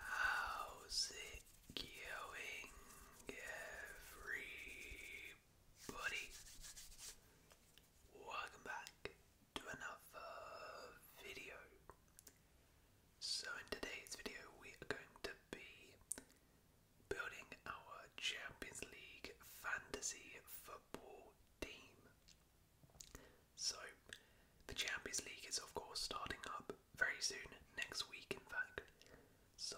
How's it going, everybody? Welcome back to another video. So, in today's video, we are going to be building our Champions League fantasy football team. So, the Champions League is, of course, starting up very soon, next week, in fact. So,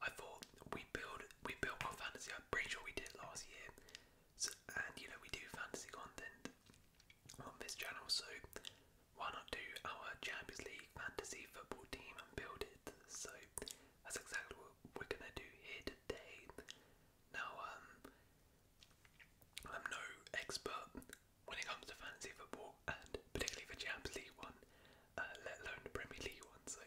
I thought we build we built our fantasy. I'm pretty sure we did last year, so, and you know we do fantasy content on this channel. So, why not do our Champions League fantasy football team and build it? So, that's exactly what we're gonna do here today. Now, um, I'm no expert when it comes to fantasy football and particularly the Champions League one, uh, let alone the Premier League one. So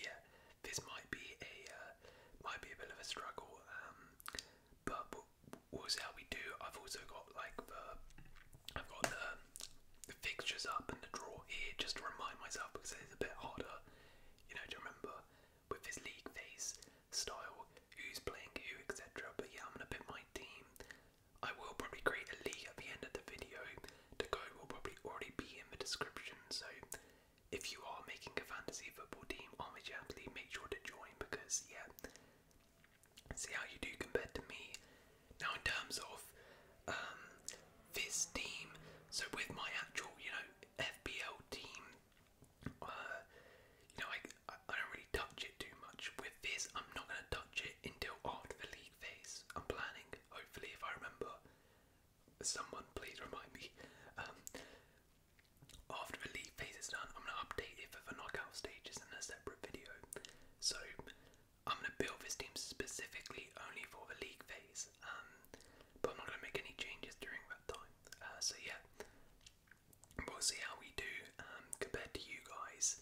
yeah, this might be a uh, might be a bit of a struggle, um, but we'll see how we do. I've also got like the I've got the, the fixtures up and the draw here just to remind myself because it's a bit harder, you know, to remember with his league phase, style, who's playing who, etc. But yeah, I'm gonna build my team. I will probably create a league at the end of the video. The code will probably already be in the description, so if you are making a fantasy football team on the Champions League, make sure to join because yeah, see how you do compared to me. Now in terms of this um, team, so with my actual, you know, FBO team, uh, you know, I, I don't really touch it too much. With this, I'm not going to touch it until after the league phase. I'm planning, hopefully, if I remember. Someone please remind me. Um, after the league phase is done, I'm going to update it for the knockout stages in a separate video. So, I'm going to build this team specifically only for the league phase, um, but I'm not going to make any changes during the uh, so yeah, we'll see how we do um, compared to you guys.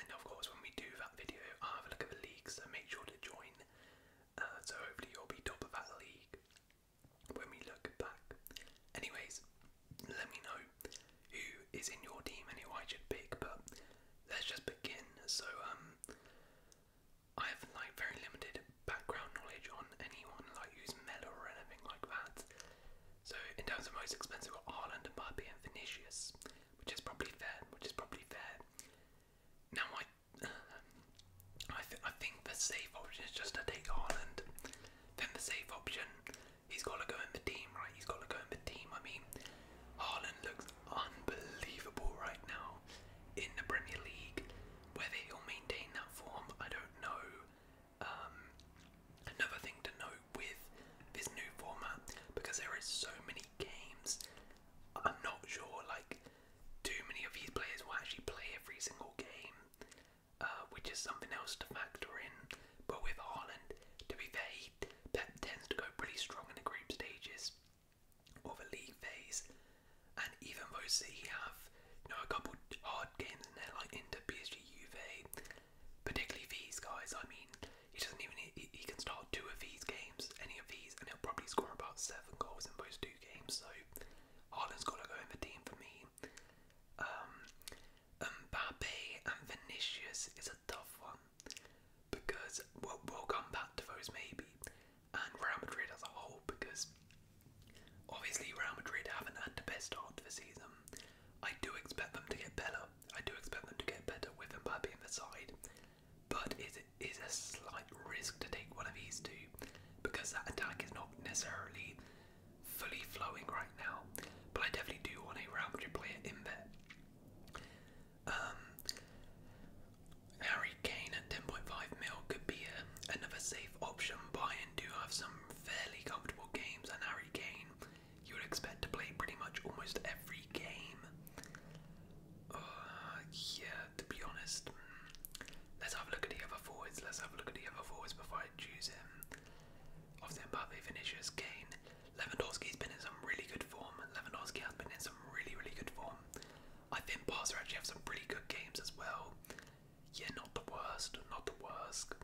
And of course, when we do that video, i have a look at the league, so make sure to join. Uh, so hopefully you'll be top of that league when we look back. Anyways, let me know who is in your team and who I should pick, but let's just begin. So um, I have like very limited background knowledge on anyone like who's mellow or anything like that. So in terms of most expensive, got Ireland and Barbie and Vinicius, which is probably fair. Which is probably fair. Now I, I, think the safe option is just to take Ireland. Then the safe option, he's got to go in the team, right? He's got to go in the team. I mean, Haaland looks unbelievable right now in the Premier League. Whether he'll maintain that form, I don't know. Um, another thing to note with this new format, because there is so many games, I'm not sure like too many of these players will actually play every single game, uh, which is something else to factor in. But with Haaland, to be fair, he, Pep tends to go pretty strong in the group stages or the league phase. And even though he have know a couple hard games in there, like Inter, PSG, Juve, particularly these guys. I mean, he doesn't even he, can start two of these games, any of these, and he'll probably score about seven goals in those two games. So Haaland's got to go in the team for me. Um, Mbappe and Vinicius is a tough one because we we'll come back to those maybe and Real Madrid as a whole because obviously Real Madrid haven't had the best start to season. I do expect them to get better. I do expect them to get better with Mbappe in the side, but it is a slight risk to take one of these two because that attack is not necessarily fully flowing right now. But I definitely do want a Real Madrid player in there. Um, Harry Kane at 10.5 mil could be um, another safe option. Bayern do have some fairly comfortable games, and Harry Kane, you would expect to play pretty much almost every game. Uh, yeah, to be honest, mm, let's have a look at the other forwards. Let's have a look at the other forwards before I choose him. Obviously, Mbappe, Vinicius, Kane. Lewandowski's been in some really good form. Lewandowski has been in some really, really good form. I think Barca actually have some pretty good games as well. Yeah, not the worst, not the worst.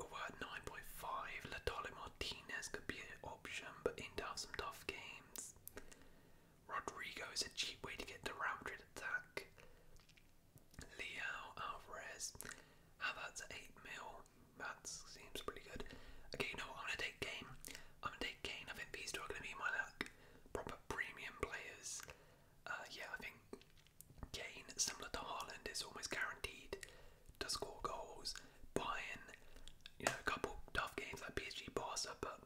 We're at 9.5. Latale Martinez could be an option, but in to have some tough games. Rodrigo is a cheap way to get the Real Madrid attack. Leo Alvarez. How that's 8 mil. That seems pretty good. Okay, you know what? I'm gonna take game. I'm gonna take Kane. I think these two are gonna be my luck proper premium players. Uh, yeah, I think Kane, similar to Haaland, is almost guaranteed to score goals. Bayern, you know, a couple tough games like PSG, Barca, but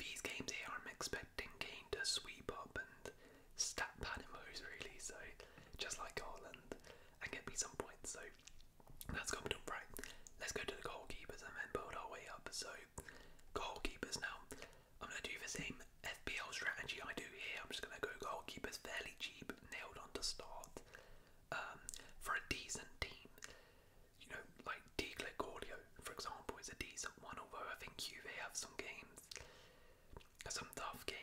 these games here, I'm expecting Kane to sweep up and stat pad those really. So just like Haaland, and get me some points. So that's done right? Let's go to the goalkeepers and then build our way up. So goalkeepers now. I'm going to do the same FPL strategy I do here. I'm just going to go goalkeepers fairly cheap, nailed on to start. Um, for a decent team, you know, like Declan Gordio, for example, is a decent one, although I think you they have some games, some tough games.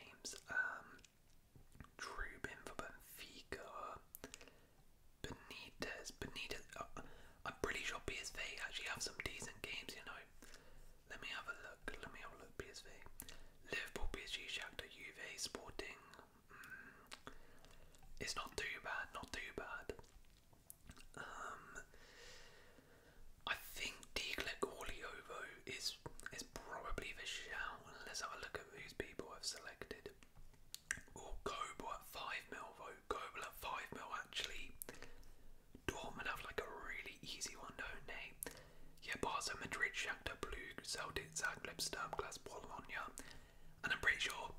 Trubin um, for Benfica, Benitez. Benitez. Uh, I'm pretty sure PSV actually have some decent games, you know. Let me have a look. Let me have a look. PSV. Liverpool, PSG, Shakhtar, Juve, Sporting. Mm. it's not too bad. Not too bad. Um, I think Declic Oliovo is is probably the shout. Let's have a look at whose people I've selected. Or oh, Kobo 5 mil vote. Kobo 5 mil actually. Dortmund have like a really easy one, don't they? Yeah, Barca, Madrid, Shakhtar, Blue, Celtic, Zagreb, Sturm, Glass, Bologna. And I'm pretty sure,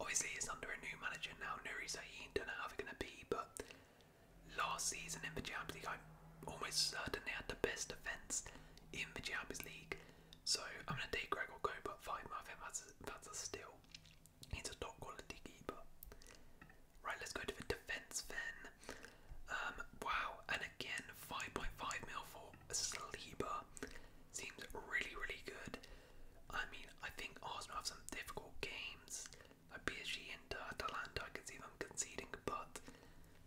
obviously, it's under a new manager now, Nuri Sahin. Don't know how they're going to be, but last season in the Champions League, I'm almost certain they had the best defence in the Champions League. So I'm going to take Gregor Cope at 5. I that's a, steal. He's a top quality keeper. Right, let's go to the defence then. Um, wow, and again, 5.5 mil for Sleeper. Seems really, really good. I mean, I think Arsenal have some difficult games. Like PSG and Atalanta, I can see them conceding, but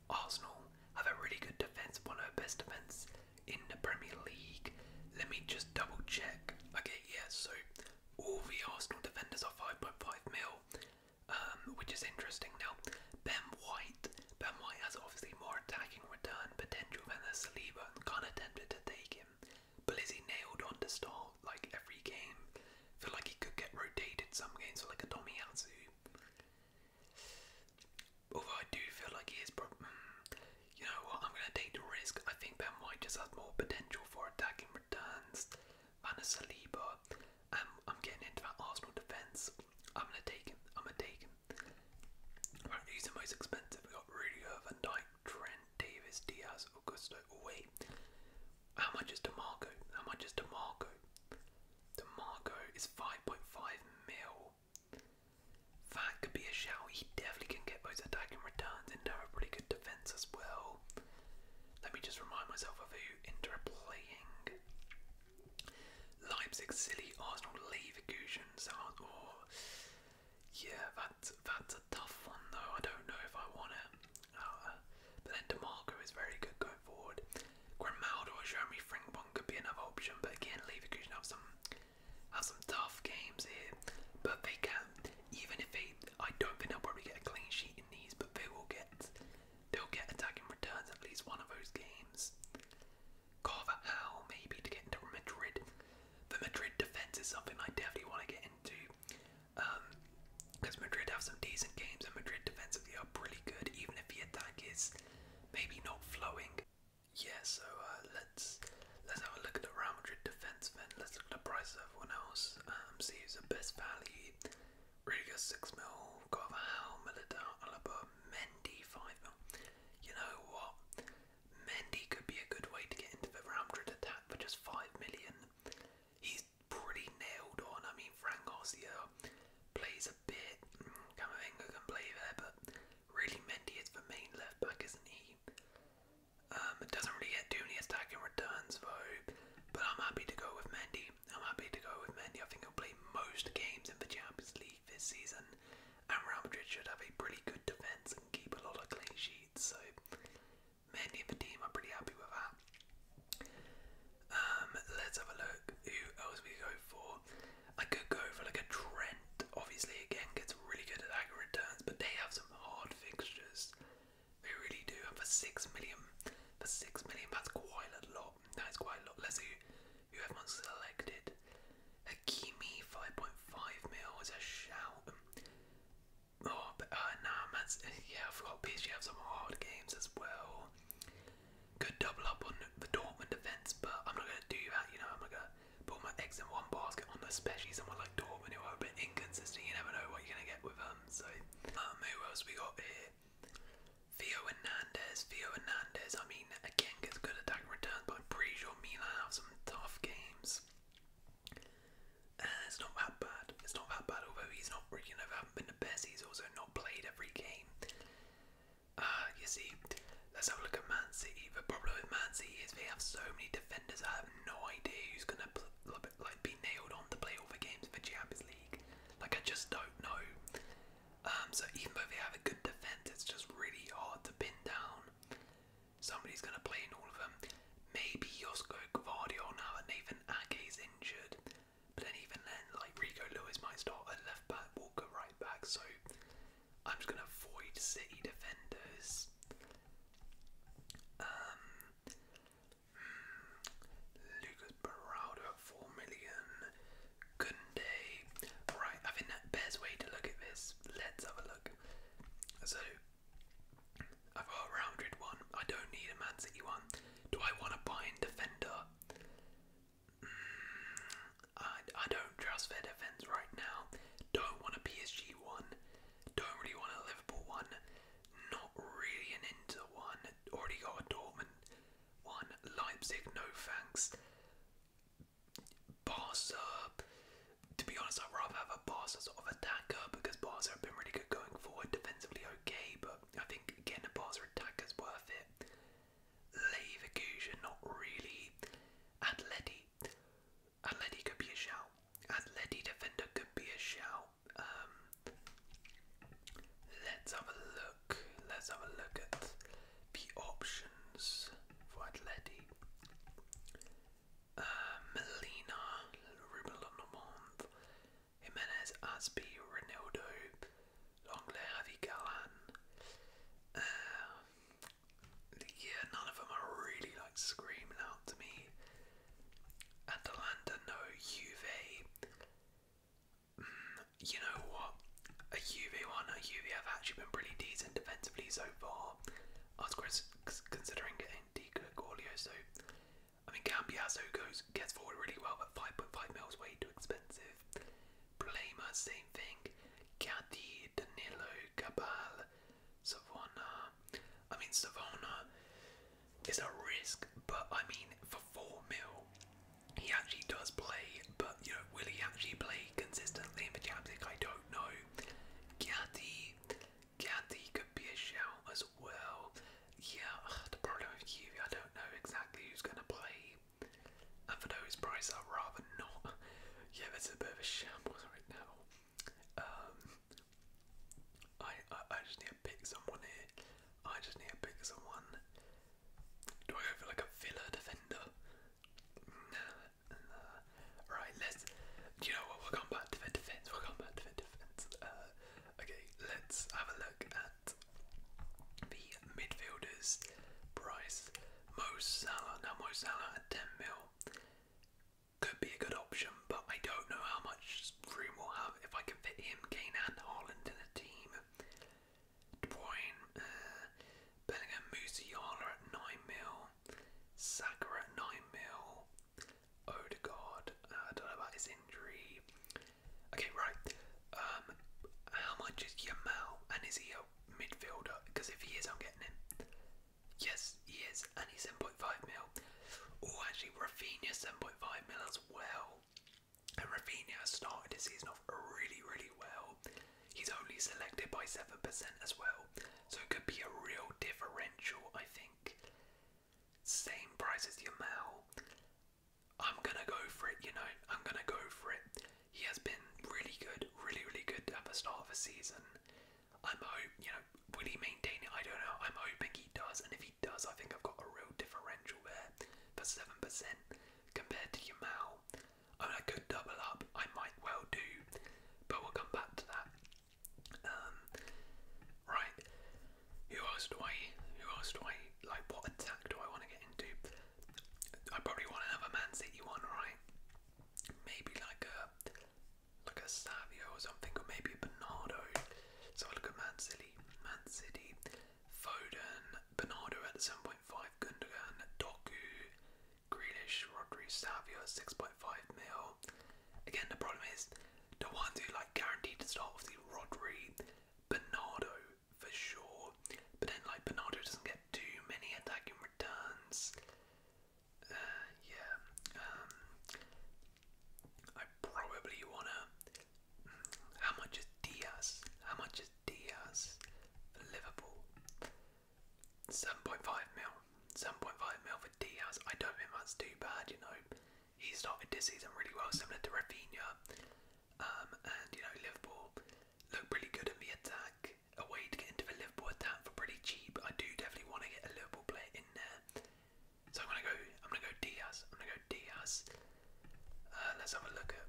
Arsenal have a really good defence, one of the best defence in the Premier League. Let me just double check. Okay, yes. so all the Arsenal defenders are five mil, um, which is interesting. Now, Ben White, Ben White has obviously more attacking return potential than the Saliba and kind of to take him. But is he nailed on the start like every game? Feel like he could get rotated some games for like a Tomiyasu. Although I do feel like he mm, you know what? I'm going to take the risk. I think that might just have more potential for attacking returns than a Um, I'm getting into that Arsenal defence. I'm going to take it. I'm going to take it. Right, he's the most expensive. We've got Rudiger, Van Dyke, Trent, Davis, Diaz, Augusto. Oh, wait. How much is Marco? How much is Marco? DeMarco? Marco is 5.5 mil. That could be a shout. He definitely can get both attacking returns and have a pretty good defense as well. Let me just remind myself of who Inter are playing. Leipzig, Silly, Arsenal, Leverkusen, Sound or yeah, that's that's a tough one though. I don't know if I want it. Uh, but then DeMarco is very good going forward. Grimaldo or Jeremy Frimpong could be another option, but again, Leverkusen have some have some tough games here, but they can. Even if they, I don't think i will probably get a clean sheet in these, but they will get, they'll get attacking returns at least one of those games. Carver maybe to get into Madrid. The Madrid defense is something I definitely want to get into, because um, Madrid have some decent games and Madrid defensively are pretty good, even if the attack is maybe not flowing yeah, so uh, let's let's have a look at the Real Madrid defense then. Let's look at the price of everyone else. Um, see who's the best value. Rudiger six mil, Carvajal, Militao, Alaba, Mendy five mil. You know what? Mendy could be a good way to get into the Real Madrid attack for just five million. He's pretty nailed on. I mean, Frank Garcia plays a bit. Mm, Camavinga can play there, but Really, Mendy is the main left back, isn't he? Um, it doesn't really get too many attacking returns though, but I'm happy to go with Mendy. I'm happy to go with Mendy. I think he'll play most games in the Champions League this season, and Real Madrid should have a pretty good defence and keep a lot of clean sheets. So, Mendy and the team, I'm pretty happy with that. Um, let's have a look. Who else we go for? I could go for like a Trent, obviously, again, gets really good at aggro returns, but they have some hard fixtures. They really do, and for 6 million, for 6 million, that's quite a lot. That is quite a lot. Let's see who everyone's selected. Hakimi, 5.5 mil is a shout. Oh, but uh, nah, man, yeah, I forgot PSG have some hard games as well. Good double up on the Dortmund defence, but I'm not going to do that. You know, I'm not going to put my eggs in one basket on especially someone like Dortmund who are a bit inconsistent. You never know what you're going to get with them. Um, so, um, who else we got here? Theo Hernandez. Theo Hernandez. I mean, again, gets good attack returns, but I'm pretty sure Milan have some tough games. And it's not that bad. It's not that bad, although he's not, you know, haven't been the best. He's also not played every game. Ah, you see, let's have a look at Man City. The problem with Man City is they have so many defenders. I have no idea who's gonna like be nailed on to play all the games for the Champions League. Like I just don't know. Um, so even though they have a good defense, it's just really hard to pin down. Somebody's gonna play in all of them. Maybe Josko Gvardiol now that Nathan Ake is injured. But then even then, like Rico Lewis might start at left Walker right back. So I'm just going to avoid City defenders. Um, hmm, Lucas Baraldo at 4 million. Kunde. Right, I think that best way to look at this. Let's have a look. So, I've got a Real one. I don't need a Man City one. Do I want to buy in defender? I, I don't trust their defence right now. Don't want a PSG one. Don't really want a Liverpool one. Not really an Inter one. Already got a Dortmund one. Leipzig, no thanks. Barca. To be honest, I'd rather have a Barca sort of attacker because Barca have been really good going forward, defensively okay, but I think getting a Barca attacker is worth it. Leverkusen, not really. And Letty. could be a shout. And defender could be a shout. Um, let's have a look. Let's have a look at the options for Atleti. Uh, Melina, Ruben Lundemont, Jimenez, Aspi, Ronaldo, Longlair, Avi Galan. Um, yeah, none of them are really like screaming out to me. Atalanta, no. Juve, mm, you know what? A Juve one, a Juve have actually been pretty decent defensively so far. I was considering getting Dica Gorlio, so I mean Cambiasso goes gets forward really well, but 5.5 mil way too expensive. Blema, same thing. Cadi, Danilo, Cabal, Savona. I mean, Savona is a risk, but I mean, for 4 mil, he actually does play, but you know, will he actually play consistently in the Champions League? I don't know. Gatti, Gatti could be a shell as well. Yeah, the problem with you, I don't know exactly who's going to play. And for those prices, I'd rather not. Yeah, that's a bit of a shambles right now. Um, I, I I just need to pick someone here. I just need to pick someone. Do I go for like a Villa defender? Nah, Right, let's. Do you know what? We'll come back to the defense. We'll come back to the defense. Uh, okay, let's have a look at the midfielders Bryce, Mo Salah. Now Mo Salah at 10 mil could be a good option, but I don't know how much room we'll have if I can fit him, Kane, and Holland in a team. De Bruyne, uh, Bellingham, Musiala at 9 mil, Saka at 9 mil, Odegaard, uh, I don't know about his injury. Okay, right. Um, how much is Yamal, and is he a midfielder? Because if he is, I'm getting him. Yes, he is, and he's 7.5 mil. Oh, actually, Rafinha 7.5 mil as well. And Rafinha started the season off really, really well. He's only selected by 7% as well, so it could be a real differential, I think. Same price as Yamal, I'm gonna go for it, you know. I'm gonna go for it. He has been really good, really, really good at the start of the season. I'm hope you know, will he maintain it? I don't know. I'm hoping he does, and if he does, I think I've got a real differential there for seven percent compared to Yamal. I I could double up. I might well do, but we'll come back to that. Um, right. Who else do I? Who else do I? Like, what attack do I want to get into? I probably want to have a Man City one, right? Maybe like a like a Savio or something, or maybe a Bernardo. So I look at Man City, Man City, Foden, Bernardo at seven point five, Gundogan, Doku, Grealish, Rodri, Savio six point five mil. Again, the problem is the ones who like guaranteed to start with the Rodri, Bernardo, for sure. But then, like, Bernardo doesn't get too many attacking returns. Uh, yeah. Um, I probably wanna. Mm, how much is Diaz? How much is Diaz for Liverpool? 7.5 mil. 7.5 mil for Diaz. I don't think that's too bad, you know he started this season really well, similar to Rafinha. Um, and you know, Liverpool looked pretty good in the attack. A way to get into the Liverpool attack for pretty cheap. I do definitely want to get a Liverpool player in there. So I'm gonna go. I'm gonna go Diaz. I'm gonna go Diaz. Uh, let's have a look at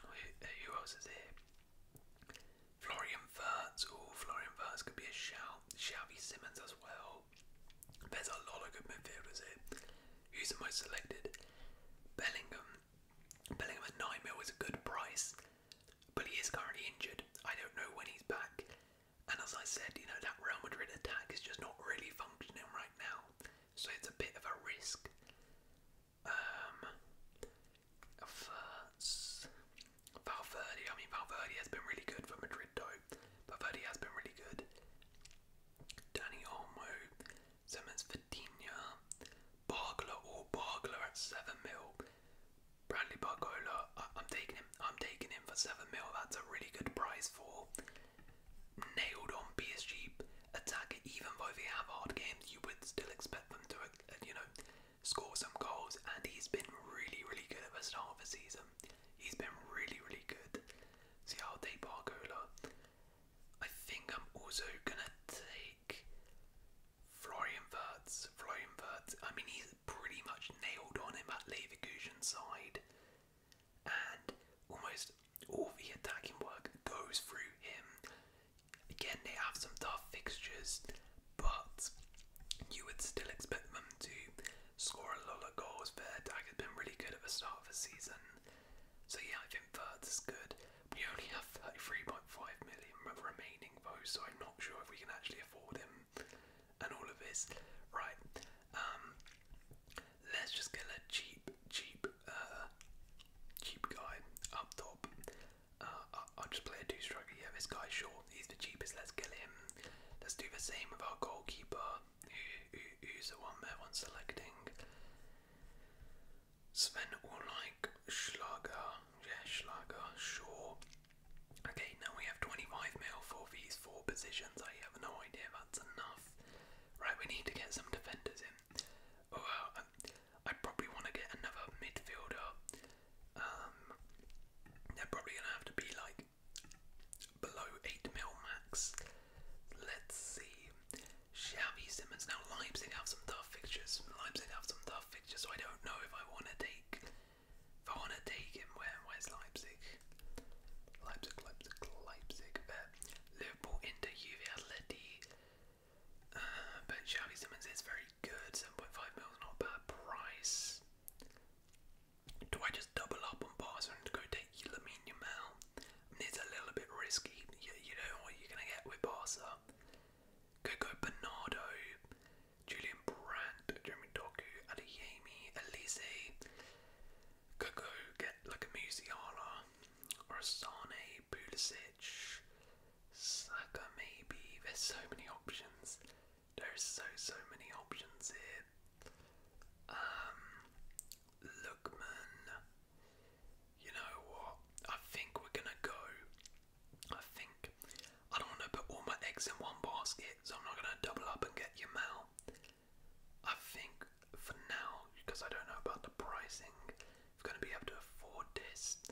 mm, uh, who, else is here. Florian Wirtz. or Florian Wirtz could be a shout. Xavi Simmons as well. There's a lot of good midfielders here. Who's the most selected? Bellingham. Bellingham 9 mil is a good price, but he is currently injured. I don't know when he's back. And as I said, you know, that Real Madrid attack is just not really functioning right now. So it's a bit of a risk. Um, Valverde, I mean, Valverde has been really good for Madrid though. Valverde has been really good. Danny Olmo, Simmons Vitinha, Bargler or oh, Bargler at 7 mil. Bradley Bargola, I am taking him. I'm taking him for 7 mil. That's a really good price for nailed on PSG attacker. Even though they have hard games, you would still expect them to, uh, you know, score some goals. And he's been really, really good at the start of the season. He's been really, really good. See, so yeah, I'll take Bargola. I think I'm also gonna take Florian Wirtz. Florian Wirtz, I mean, he's pretty much nailed on in that Leverkusen side, and almost all the attacking work goes through him. Again, they have some tough fixtures, but you would still expect them to score a lot of goals. Their attack has been really good at the start of the season. So yeah, I think third's good. We only have 33.5 million remaining though, so I'm not sure if we can actually afford him and all of this. Right, um, let's just get a cheap, cheap, uh, cheap guy up top. Uh, I'll just play a two-striker. Yeah, this guy's short. He's the cheapest. Let's kill him. Let's do the same with our goalkeeper who, who's the one there selecting? Sven Ulreich, Schlager, yeah, Schlager, sure. Okay, now we have 25 mil for these four positions. I have no idea that's enough. Right, we need to get some defenders in. Oh, um, I probably want to get another midfielder. Um, they're probably going to have to be like below 8 mil max. Let's see. Xavi Simmons. Now, Leipzig have some tough fixtures. Leipzig have some tough fixtures, I don't know if I want to take. If I want to take him, where? Where's Leipzig? Leipzig, Leipzig, Leipzig. But uh, Liverpool, Inter, Juve, Atleti. Uh, but Xavi Simmons is very good. 7.5 mil's not bad price. Do I just double up on Barca and go take Lamine it's a little bit risky. You, you know what you're going to get with Barca. Could go Bernardo, Julian Brandt, Jeremy Doku, Adeyemi, Elise. Could go get like a Musiala or a Sane, Pulisic, Saka maybe. There's so many options. There's so, so many options here. Um, Lookman. You know what? I think we're gonna go. I think I don't want to put all my eggs in one basket, so I'm not gonna double up and get Yamal. I think for now, because I don't know about the pricing, if we gonna be able to afford this.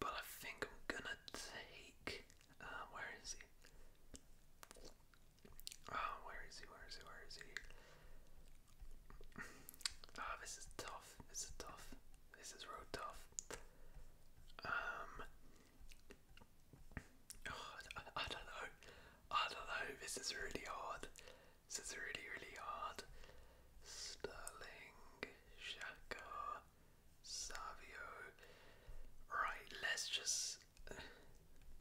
But I think I'm gonna take. Uh, where is he? Oh, where is he? Where is he? Where is he? Oh, this is tough. This is tough. This is real tough. Um. I don't know. I don't know. This is really hard. This is really, really hard. Sterling, Shaka, Savio. Right, let's just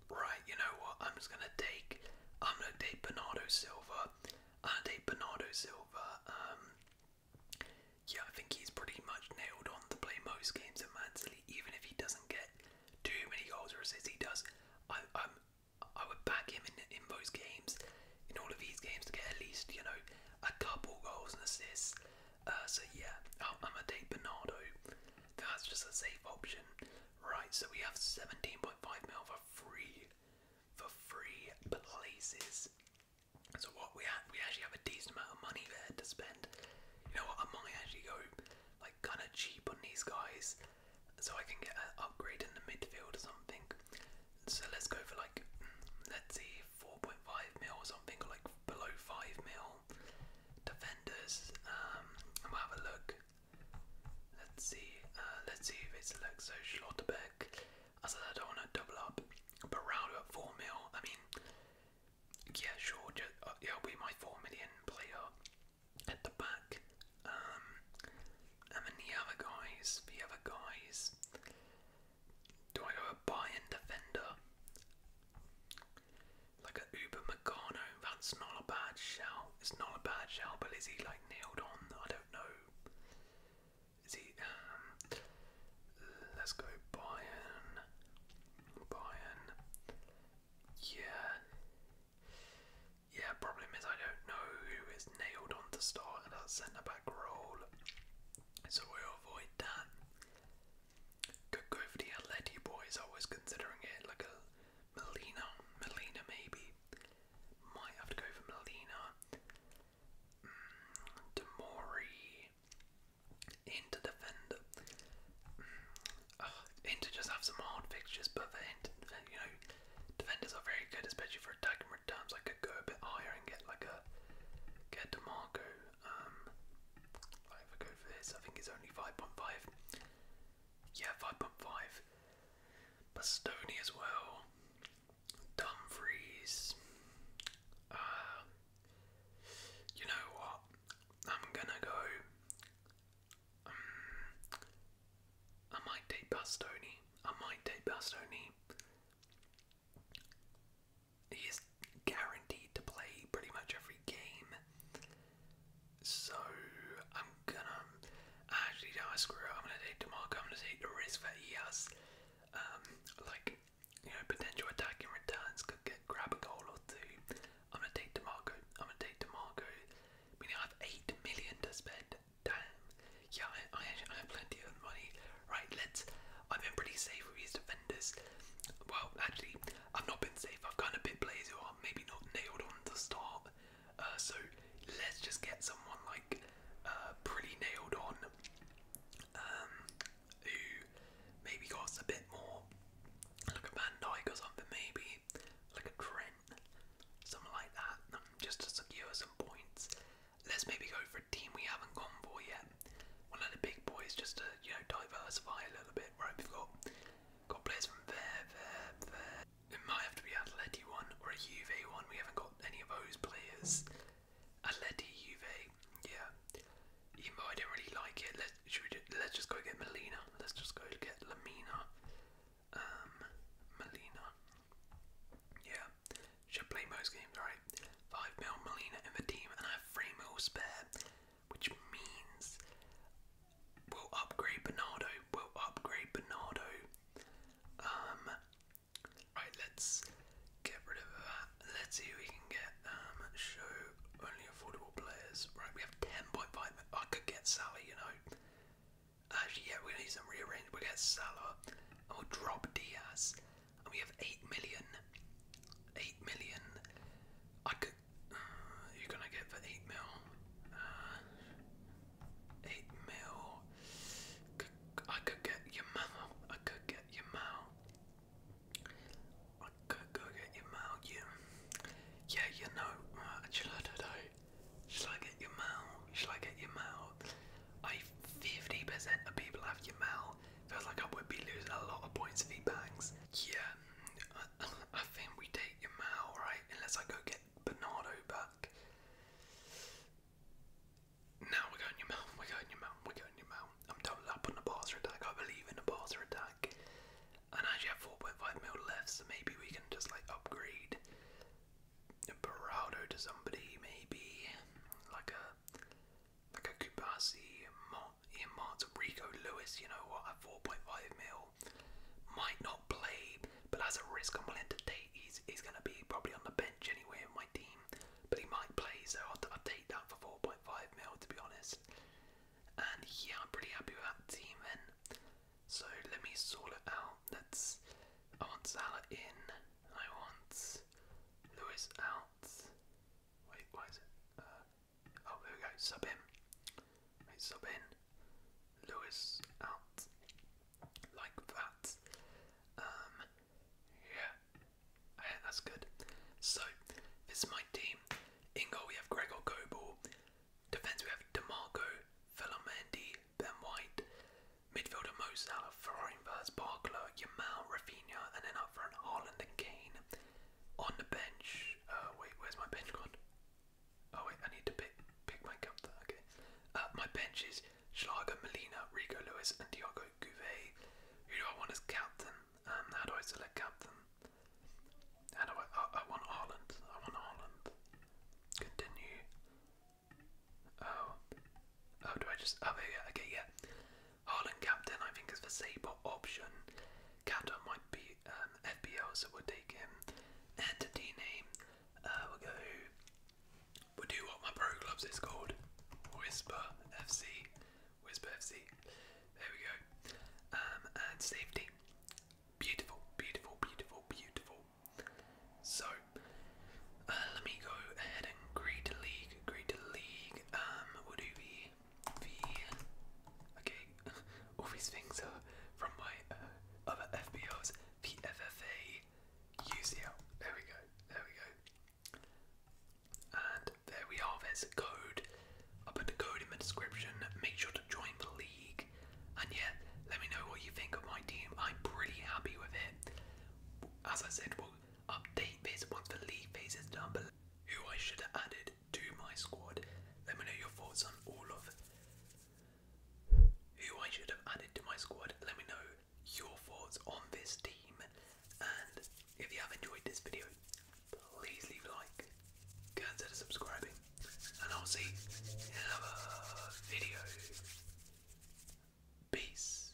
right, you know what? I'm just gonna take. I'm gonna take Bernardo Silva. I'm gonna take Bernardo Silva. Um, yeah, I think he's pretty much nailed on to play most games at Man City, even if he doesn't get too many goals or assists. He does. I, i I would back him in in those games, in all of these games, to get at least you know a couple goals and assists. Uh, so yeah, I'm gonna take Bernardo. That's just a safe option. Right, so we have 17.5 mil for free. For free places. So what we have, we actually have a decent amount of money there to spend. You know what? I might actually go like kind of cheap on these guys, so I can get an upgrade in the midfield or something. So let's go for like let's see, 4.5 mil or something, or like below 5 mil. Defenders, um, we'll have a look. Let's see, uh, let's see if it's like Schlotterbeck. I said I don't want to double up, but at 4 mil, I mean, yeah, sure, uh, yeah, we my 4 million player at the back. Um, and then the other guys, the other guys. Do I go buy-in defender? Like a Uber Meccano, that's not a bad shout. It's not a bad shout, but is he like nailed on? I don't know. Is he? Um, let's go Bayern. Bayern. Yeah. Yeah, problem is I don't know who is nailed on to start at that centre back role. So we avoid that. Could go for the Atleti boys. I was considering it like a Melina, Melina maybe. Might have to go for Melina. Mm, Demori into defender. Mm, just have some hard fixtures, but for you know, defenders are very good, especially for attacking returns. I could go a bit higher and get like a get Demarco um, if I go for this, I think it's only 5.5. Yeah, 5.5. Bastoni as well. Dumfries. Uh, you know what? I'm gonna go. Um, I might take Bastoni. I might take Bastoni. He is guaranteed to play pretty much every game. So I'm gonna actually no, I screw it. I'm gonna take DeMarco. I'm gonna take the risk that he has, um, like you know, potential attacking returns could get grab a goal or two. I'm gonna take DeMarco. I'm gonna take DeMarco. I mean, I have eight million to spend. Damn. Yeah, I, I actually I have plenty of money. Right, let's. I've been pretty safe with these defenders. Well, actually, I've not been safe. I've kind of been lazy or maybe not nailed on to start. Uh, so let's just get someone like uh, pretty nailed on um, who maybe got a bit more like a Van Dyke or something, maybe like a Trent, something like that, um, just to secure some points. Let's maybe go for a team we haven't gone for yet one of the big boys just to you know diversify a little bit. Right, we've got got players from there, there, there. We might have to be a Atleti one or a Juve one. We haven't got any of those players. A ledy Juve, yeah. Even though I don't really like it, let's let's just go get Melina. Let's just go get Lamina. Um, Molina. Yeah, should play most games, right? Five mil Molina in the team, and I have three mil spare which means we'll upgrade Bernardo. We'll upgrade Bernardo. Um, right, let's get rid of that. Let's see who we can get. Um, show only affordable players. Right, we have 10.5. I could get Sally, you know. Actually, yeah, we need some rearrange. we get Salah. I'll drop Diaz we have eight million. Eight million. I could. Uh, you're gonna get for eight mil. Uh, eight mil. I could get your mouth. I could get your mouth. I could go get your mouth. Yeah. Yeah, you know. Uh, I do? Shall I get your mouth? Shall I get your mouth? I. Fifty percent of people have your mouth now. Feels like I would be losing a lot of points if he bangs. Yeah, I, think we take him out, right? Unless I go get Bernardo back. Now we're going your mount, we're going your mount, we're going your mount. I'm doubled up on the Barca attack. I believe in the Barca attack. And I actually have 4.5 mil left, maybe we can just like upgrade Barrado to somebody, maybe like a like a Kubasi, in earmarked Rico Lewis, you know what, at 4.5 mil. Might not play, but as a risk I'm willing to take. He's, he's going to be probably on the bench anyway in my team, but he might play, so I'll, i take that for 4.5 mil to be honest. And yeah, I'm pretty happy with that team then. So let me sort it out. That's I want Salah in, I want Lewis out. Wait, why is it? Uh, oh, there we go. Sub in. Right, sub in. Lewis out. Like that. Um, yeah. that's good. So, this is my team. In goal, we have Gregor Gobel. Defence, we have DeMarco, Filamendi, Ben White. Midfielder Mo Salah, Ferrari Vaz, Barkler, Yamal, and then up front, Haaland and On the bench, uh, wait, where's my bench gone? Oh wait, I need to pick pick my cup okay. Uh, my bench is Schlager, Molina, Rico Lewis and Diogo Gouvet. Who do I want as captain? Um, how do I select captain? How do I, I, want Haaland, I want Haaland. Continue. Oh, oh, do I just, oh, yeah, okay, yeah. Haaland captain, I think, is the Sabre option. Captain might be um, so we'll take him. Entity name, uh, we'll go. We'll do what my pro clubs is called Whisper FC. Whisper FC. There we go. Um, and safety. Beautiful, beautiful, beautiful, beautiful. So, uh, let me go ahead and grade the league. Grade the league. Um, would it be the okay? All these things are from my uh, other FBOs. The UCL. There we go. There we go. And there we are. There's a code. i put the code in the description. Make sure to join the league. And yeah, let me know what you think of my team. I'm pretty happy with it. As I said, we Update this once the league phase is done, who I should have added to my squad. Let me know your thoughts on all of who I should have added to my squad. Let me know your thoughts on this team. And if you have enjoyed this video, please leave a like, consider subscribing, and I'll see you in another video. Peace.